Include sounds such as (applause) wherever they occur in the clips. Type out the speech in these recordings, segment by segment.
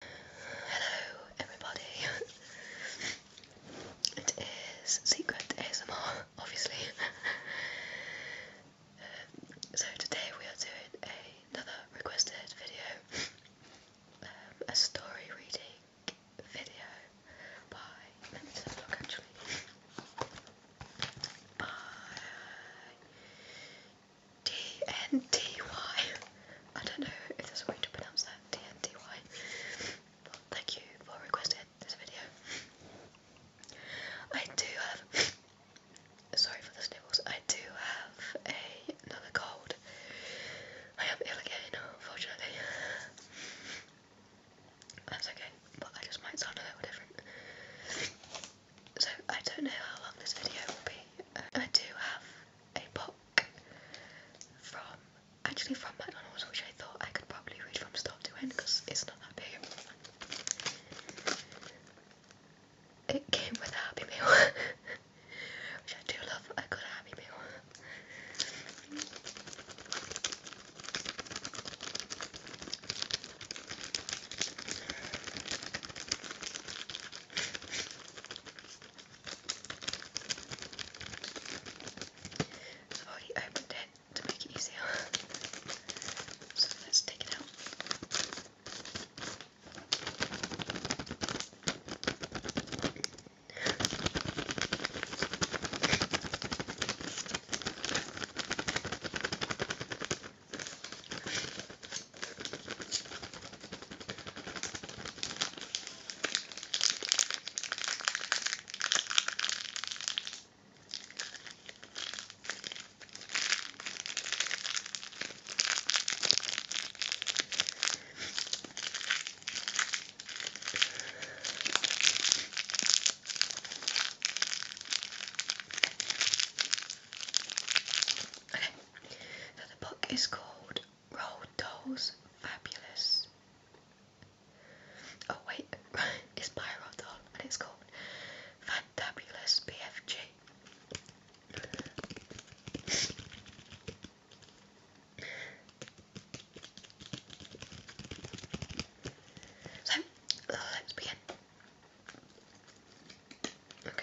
Hello, everybody. it is Secret ASMR, obviously. Um, so, today we are doing another requested video um, a story reading video by. By D-N-D-Y. I don't know if there's a way to pronounce that, D-N-D-Y. But thank you for requesting this video. I do have... Sorry for the sniffles. I do have another cold. I am ill again, unfortunately. That's okay, but I just might sound a little different. So I don't know how long this video will be. I do have a pot from actually from McDonald's, which I thought I could probably read from start to end because it's not that big. It came with a Happy Meal, (laughs) which I do love. I got a Happy Meal. So I've already opened it to make it easier. So let's take it out. Okay, so the book is called Roll Doll's Fabulous. Oh, wait, (laughs) it's by Roald Dahl and it's called Fantabulous BFG. So, let's begin. Okay,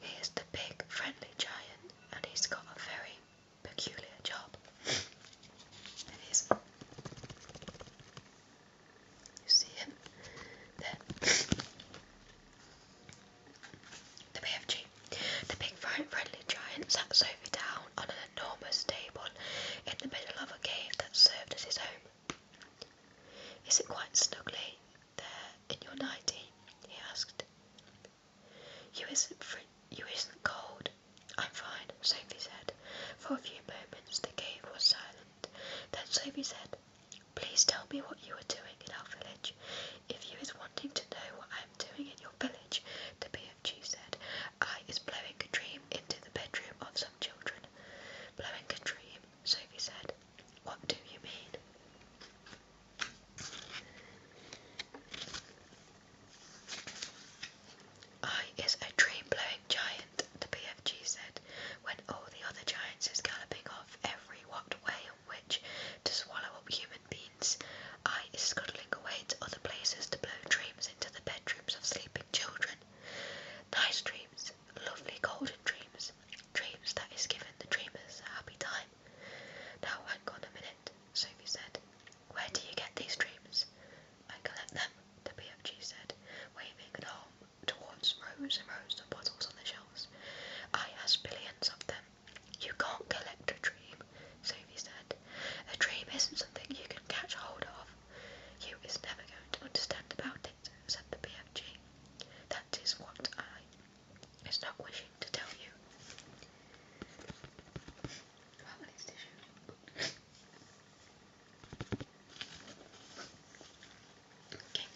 He is the big, friendly giant, and he's got a very peculiar job. You see him? Then. the BFG. The big, friendly giant sat Sophie down on an enormous table in the middle of a cave that served as his home. Is it quite snugly there in your nightie? he asked. You isn't fr you isn't cold? I'm fine, Sophie said. For a few moments the cave was silent. Then Sophie said, Please tell me what you are doing in our village. If you is wanting to know what I am doing in your village, the BFG said, I is blowing a dream into the bedroom of some children. Blowing a dream, Sophie said. What do you mean? I is a dream-blowing giant, the BFG said, when all the other giants is galloping off every what way and which to swallow up human beings. I is scuttling away to other places to blow dreams into the bedrooms of sleeping children. Nice dreams, lovely golden dreams, dreams that is giving the dreamers a happy time time. Now, hang on a minute, Sophie said. Where do you get these dreams? I collect them, the BFG said, waving an arm towards rows and rows of bottles on the shelves. I has billions of them. You can't collect a dream, Sophie said. A dream isn't something you can catch hold of. You is never going to understand about it, said the BFG. That is what I I Stop wishing to tell you. okay.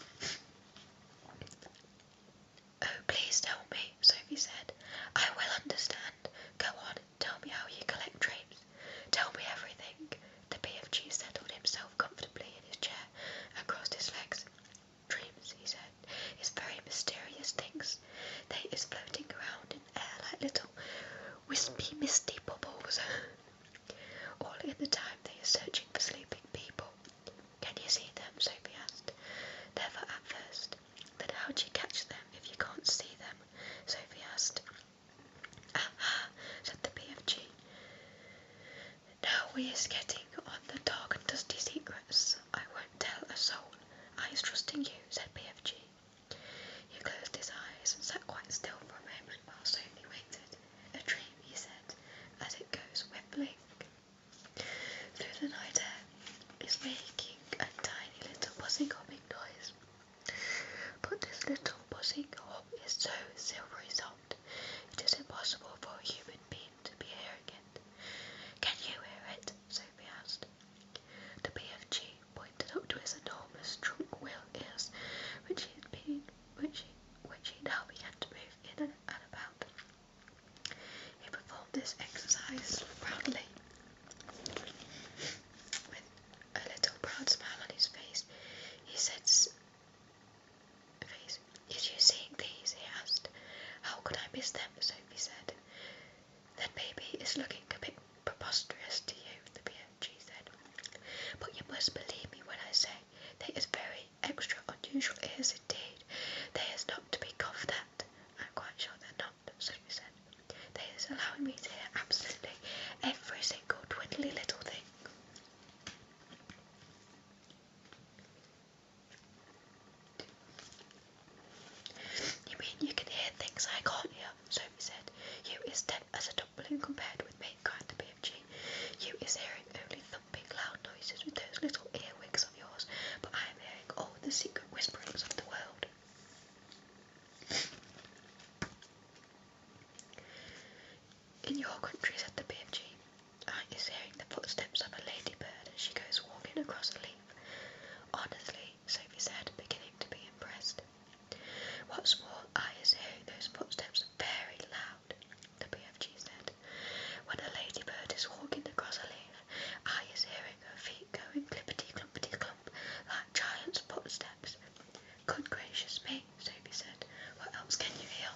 Oh, please tell me, Sophie said. I will understand. Go on, tell me how you collect drapes. Tell me everything. The P.F.G. settled himself comfortably in his chair and crossed his legs. Dreams, he said, "It's very mysterious things. They is floating around in air like little wispy, misty bubbles. (laughs) All in the time they are searching for sleeping people. Can you see them? Sophie asked. Never at first. Then how do you catch them if you can't see them? Sophie asked. Aha, ah, said the BFG. Now we are getting on the dark and dusty secrets. I won't tell a soul. I is trusting you, said PFG. He closed his eyes and sat quite still for a moment while Sophie waited. A dream, he said, as it goes whiffling through the night air, is making a tiny little buzzing hopping noise. But this little buzzing hop is so silvery soft, it is impossible for a human being to be hearing it. Can you hear it? Sophie asked. The BFG pointed up to his enormous trunk wheel ears, which he had been, which he, which he now began to move in and, and about. He performed this exercise proudly, with a little proud smile on his face. He said, these? Is you seeing these? he asked. How could I miss them? Sophie said. That baby is looking a bit preposterous to you, the BFG said. But you must believe me when I say they is very extra unusual, ears indeed. They is not to be coughed at. I'm quite sure they're not, Sophie said. They is allowing me to hear absolutely every single twiddly little thing. You mean you can hear things I can't hear? Sophie said. You is deaf as a dog balloon compared with me, cried the BFG. You is hearing only thumping loud noises with those little earwigs of yours, but I am hearing all the secret whisperings of the world. In your country, said the BFG, I is hearing the footsteps of a ladybird as she goes walking across a leaf. Honestly, Sophie said, beginning to be impressed. What's more, I is hearing those footsteps very loud, the BFG said. When a ladybird is walking across a leaf, I is hearing her feet going clippity clompity clump like giant's footsteps. Good gracious me, Sophie said. What else can you hear?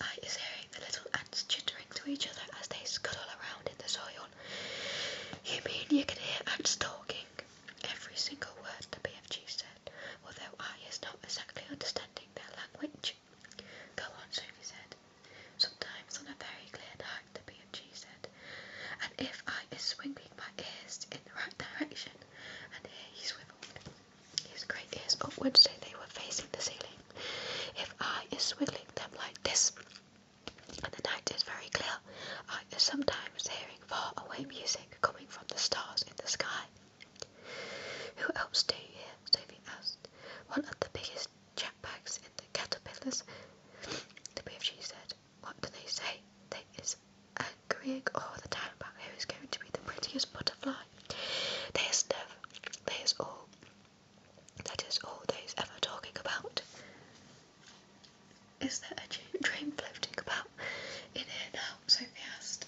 I is hearing the little ants chittering to each other as they scuttle around in the soil. You mean you can hear ants talking? Every single word the BFG said, although I is not exactly understanding their language. Go on, Sophie said. Sometimes on a very clear night, the BFG said, and if I is swinging my ears in the right direction, and here he swiveled. His great ears upwards so they were facing the ceiling. If I is swiggling them like this, and the night is very clear, I is sometimes hearing far away music coming from the stars in the sky. Who else do you hear? Sophie asked. One of the biggest jet jackbags in the caterpillars. The BFG said, What do they say? They is agreeing all the time about who is going to be the prettiest butterfly. They are never, they is all that is all there is ever talking about. Is there a dream floating about in here now? Sophie asked.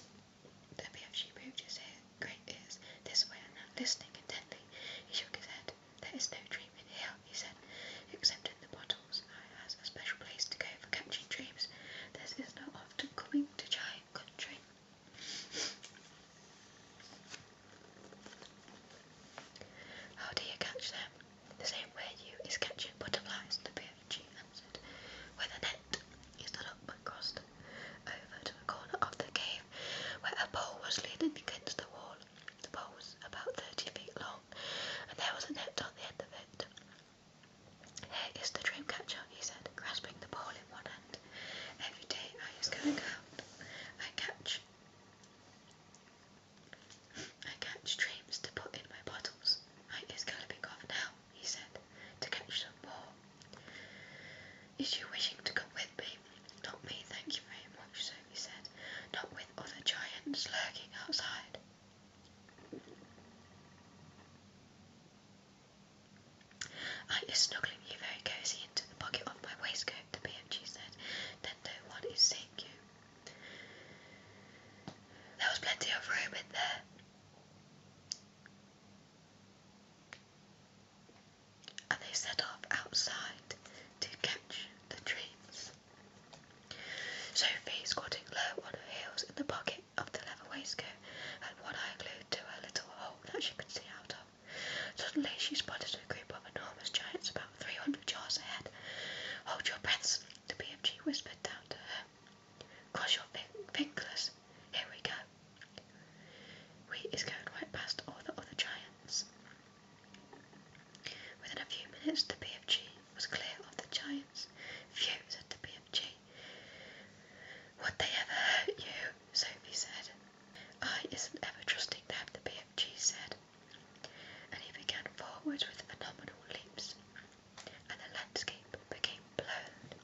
Debbie actually moved his ear, great ears this way and that, listening intently. He shook his head. There is no dream here, he said, except in the bottles. I has a special place to go for catching dreams. This no often coming to giant country. How do you catch them? The same way you is catching butterflies, the she answered. With a net, he stood up and crossed over to a corner of the cave where a pole was leaning against the wall. The pole was about 30 feet long, and there was a net on the end of it. Here is the dream catcher, he said, grasping the pole in one hand every day I was going out, I catch I catch dreams to put in my bottles. I is gonna be off now, he said, to catch some more. Is you wishing to come with me? Not me, thank you very much, Sophie said. Not with other giants lurking outside. I is snuggling you very cosy into the pocket of my waistcoat, the BMG said. "Don't know what is seeing you. There was plenty of room in there. And they set off outside to catch the dreams. Sophie, squatting low on her heels in the pocket of the leather waistcoat, had one eye glued to a little hole that she could see out of. Suddenly she spotted a group of enormous giants about 300 yards ahead. Hold your breaths, the BFG whispered down to her. Cross your fingers. Here we go. We is going right past all the other giants. Within a few minutes, the BFG was clear of the giants. Phew, said the BFG. Would they ever hurt you? Sophie said. I isn't ever trusting them, the BFG said. And he began forward with phenomenal leaps, and the landscape became blurred.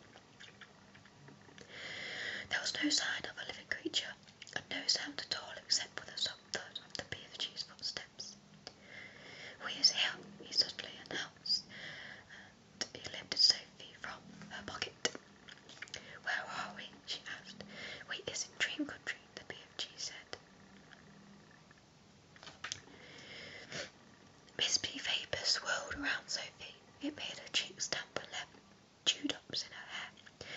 There was no sign of a living creature, and no sound at all except for the soft thud of the BFG's footsteps. We is here, he suddenly announced, he lifted Sophie from her pocket. Where are we? she asked. We are in Dream Country, the BFG said. Wispy vapour swirled around Sophie. It made her cheeks damp and left dewdrops in her hair.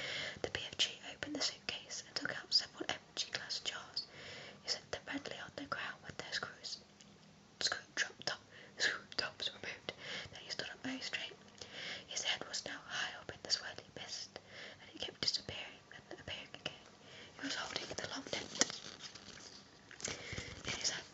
The BFG opened the suitcase and took out several empty glass jars. He set them readily on the ground with their screws screw dropped up, screw top removed, then he stood up very straight. His head was now high up in the swirling mist, and it kept disappearing and appearing again. He was holding the long net in his hand.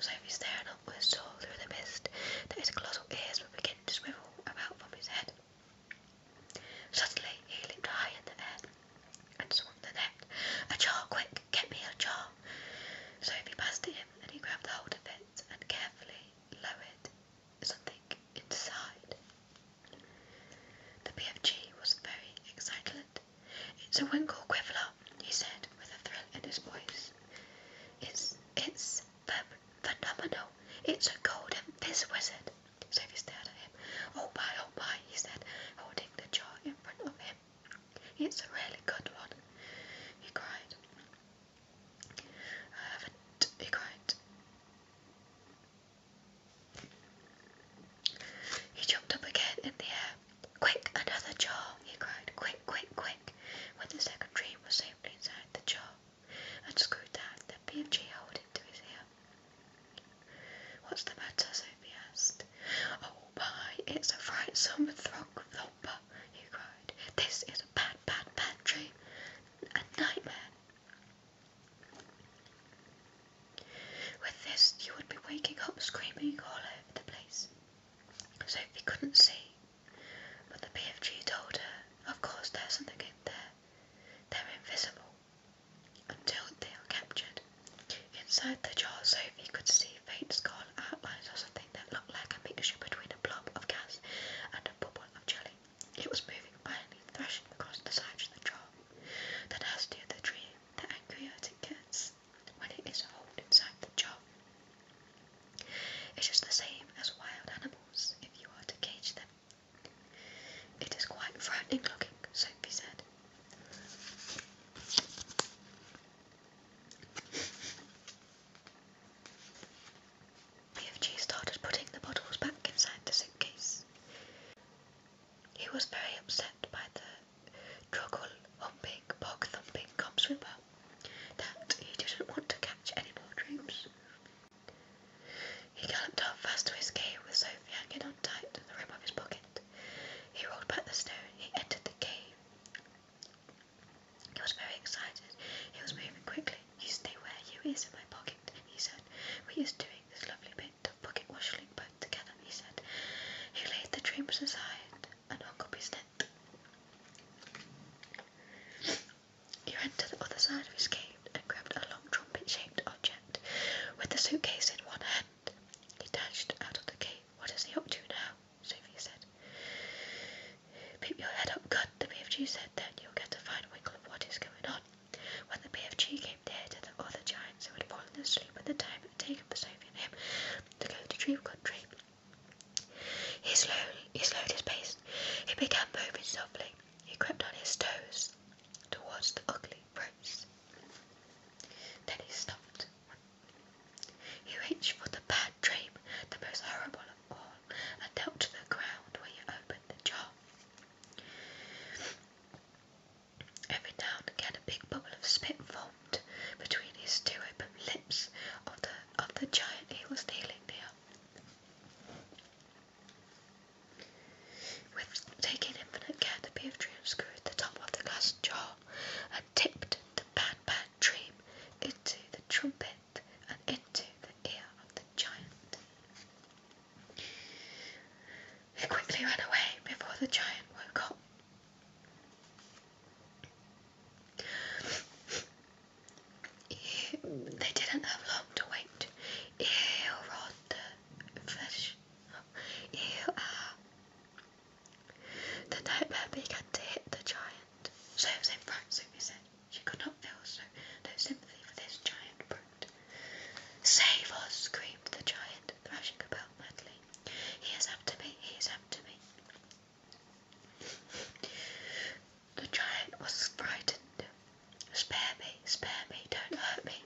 So he stared upwards, saw through the mist that his colossal ears were beginning to swivel about from his head. Suddenly he leaped high in the air and swung the net. A jar, quick, get me a jar. So Sophie passed to him and he grabbed hold of it and carefully lowered something inside. The PFG was very excited. It's a winkle quibbler, he said with a thrill in his voice. It's it's phenomenal. It's a golden fizz wizard. Sophie stared at him. Oh my, oh my, he said, holding the jar in front of him. It's a really good one, he cried. he cried. He jumped up again in the air. Quick, another jar, he cried. Quick, quick, quick. When the second dream was safely inside the jar, and screwed that, The BMG held him to his ear. What's the matter? Sophie asked. Oh my, it's a frightsome throck thumper, he cried. This is a bad, bad, bad dream. A nightmare. With this, you would be waking up screaming all over the place. Sophie couldn't see, but the BFG told her, of course there's something in there. They're invisible until they are captured. Inside the jar, Sophie could see faint scarlet outlines or something that looked like a mixture between a blob of gas and a bubble of jelly. It was moving violently, thrashing across the sides of the jar. The nastier the dream, the angrier it gets when it is held inside the jar. It's just the same as wild animals if you are to cage them. It is quite frightening looking, Soapy said. BFG started putting the bottles back inside the suitcase. He was very upset by the droggle humping, bog thumping cop that he didn't want to catch any more dreams. He galloped off fast to his cave with Sophie hanging on tight to the rim of his pocket. He rolled back the stone. He entered the cave. He was very excited. He was moving quickly. You stay where you is in my pocket, he said. We is doing this lovely bit of pocket washing both together, he said. He laid the dreams aside and hung up his net. He ran to the other side of his cave and grabbed a long trumpet-shaped object. With the suitcase in one hand, he dashed out of the cave. What is he up to now? Sophie said. Peep your head up, gun, the BFG said. Then you'll get a fine wiggle of what is going on. When the BFG came near to the other giants who had fallen asleep at the time it had taken for Sophie and him to go to Dream Country, he slowed, he slowed his pace. He began moving softly. He crept on his toes towards the ugly ropes. Then he stopped. He reached for the bad dream, the most horrible of all, and knelt to the ground where he opened the jar. Every now and again, a big bubble of spit formed between his two open lips of the of the giant he was kneeling near. With taking infinite care, the beaver unscrewed the top of the glass jar and tipped the bad bad dream into the trumpet and into the ear of the giant. He quickly ran away before the giant woke up they didn't have long to wait. Eorod the fish. Eor. The nightmare began to hit the giant. So was in front, Sophie said. She could not feel so no sympathy for this giant brute. Save us, screamed the giant, thrashing about madly. He is after me, he is after me. The giant was frightened. Spare me, spare me, don't hurt me.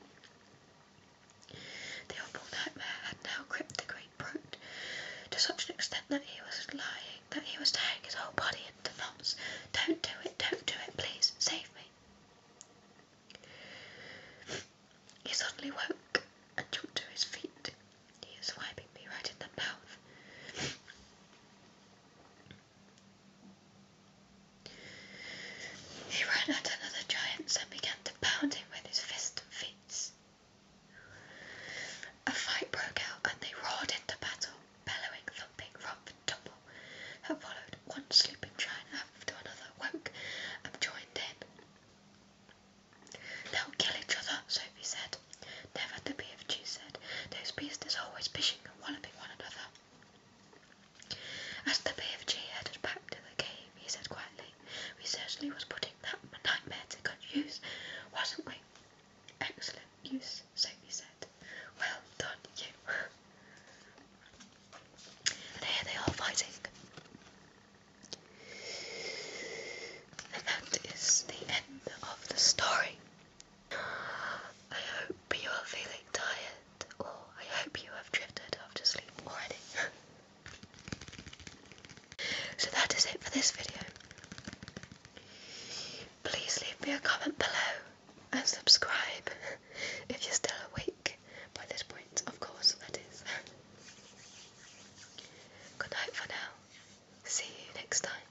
The awful nightmare had now gripped the great brute to such an extent that he was lying, that he was tearing his whole body into knots. Don't do it, don't do it, please, save me. He suddenly woke and jumped to his feet. He is wiping me right in the mouth. He ran at another giant and began to pound him with his fists and feet. A fight broke out and they roared into battle, bellowing, thumping, rumbling and tumble. That followed one sleeping giant after another woke and joined in. They'll kill each other, Sophie said. Never, the BFG said. Those beasts are always pishing and walloping one another. As the BFG headed back to the cave, he said quietly, We certainly was putting that nightmare to good use, wasn't we? Excellent use, Sophie said. Well done, you. and here they are fighting. And that is the end of the story. I hope you are feeling tired, or I hope you have drifted after sleep already. (laughs) so that is it for this video. Please leave me a comment below and subscribe (laughs) if you're still awake by this point, of course, that is. (laughs) Good night for now. See you next time.